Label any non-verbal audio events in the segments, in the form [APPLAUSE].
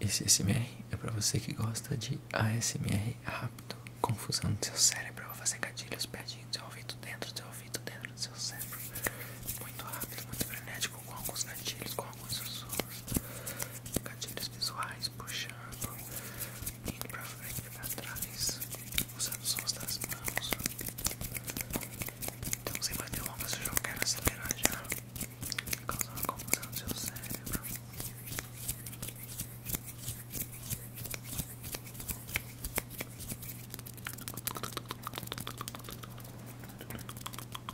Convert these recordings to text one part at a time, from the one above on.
Esse ASMR é para você que gosta de ASMR rápido, confusão no seu cérebro, vai fazer gatilhos pertinho seu ouvido, dentro do seu dentro do seu cérebro, muito rápido, muito frenético, com alguns gatilhos, com alguns sussurros, gatilhos visuais, puxando, indo pra frente e pra trás, usando sons das mãos. Então, sem mais delongas, eu já quero acelerar já, causando confusão no seu cérebro. Relaxa,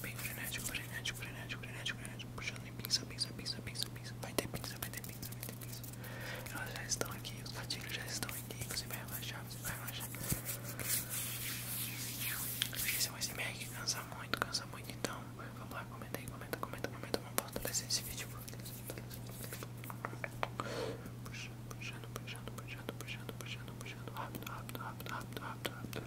Bem frenético, frenético, frenético, frenético, frenético. Puxando em pinça, pinça, pinça, pinça, pinça. Vai ter pinça, vai ter pinça, vai ter pinça. Elas já estão aqui, os gatilhos já estão aqui. Você vai relaxar, você vai relaxar. Esse é um iceberg, cansa muito, cansa muito. Então, vamos lá, comenta aí, comenta, comenta, comenta. Vamos fortalecer esse vídeo. Puxando, puxando, puxando, puxando, puxando, puxando. Rápido, rápido, rápido, rápido, rápido, rápido.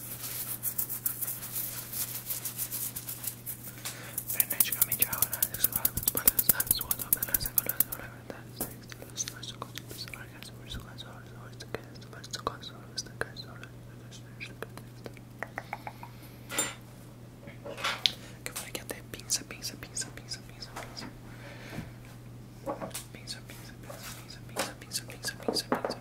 Freneticamente arrolando sexualmente para os lados, sua dominância com as probabilidades sexuais, nós conseguimos largar as forças com as horas, horas de criança, mas com as horas de criança, horas de criança, que eu falei que até pinça, pinça, pinça, pinça, pinça, pinça. Pinça, pinça, pinça, pinça, pinça, pinça, pinça, pinça, pinça.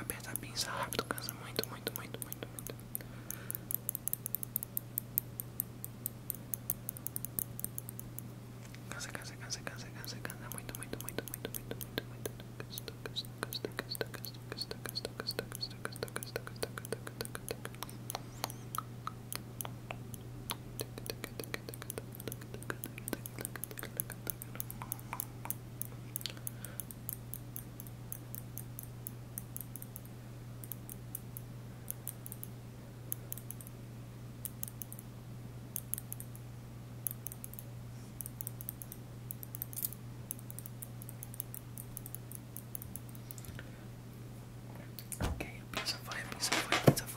Apertar a pinça rápido cansa muito, muito, muito, muito, muito. Cansa, cansa, cansa, cansa, cansa, cansa, muito, muito, muito, muito, muito, muito, muito. Casta, casta, casta, casta, casta, casta, casta, casta, casta, casta, casta, casta, casta, casta, casta, look, look at that. Okay, a piece of fire, piece of fire, piece of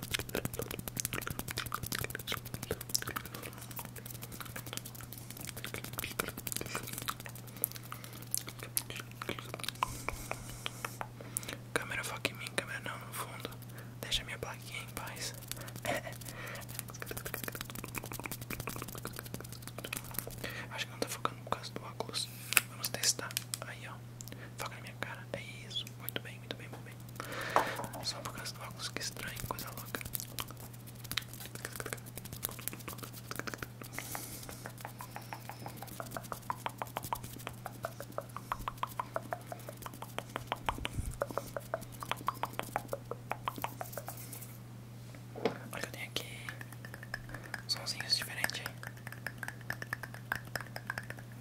Câmera foca em mim, câmera não, no fundo. Deixa minha plaquinha em paz. [LAUGHS] Acho que não tá focando por causa do óculos. Vamos testar. Aí ó, foca na minha cara. É isso, muito bem, muito bem, muito bem. Só por causa do óculos, que estranho, coisa louca. Olha o que eu tenho aqui Sonzinhos diferentes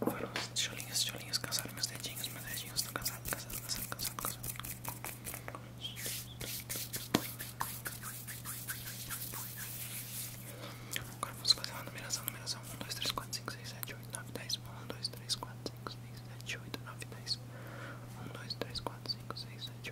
Foram os tijolinhos, tijolinhos cansaram meus dedinhos, meus dedinhos estão cansados, cansados, cansados, cansados, cansados. Agora vamos fazer uma numeração, numeração 1, 2, 3, 4, 5, 6, 7, 8, 9, 10 1, 2, 3, 4, 5, 6, 7, 8, 9, 10 1, 2, 3, 4, 5, 6, 7,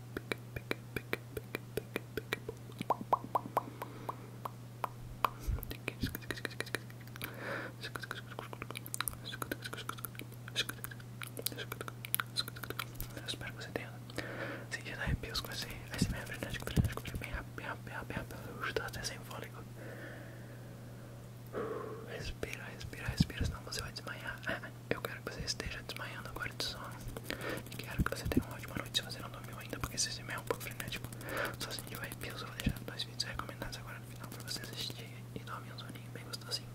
Eu espero que você tenha sentido arrepios com esse ASMR frenético, frenético, bem rápido, bem rápido, bem rápido, eu estou até sem fôlego. Respira, respira, respira, senão você vai desmaiar. Eu quero que você esteja desmaiando agora de sono. Quero que você tenha uma ótima noite se você não dormiu ainda, porque se esse é um pouco frenético, só se sentiu arrepio, eu vou deixar dois vídeos recomendados agora no final pra você assistir e dormir um soninho bem gostosinho.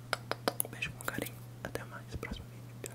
Um beijo com carinho, até mais, próximo vídeo. Tá?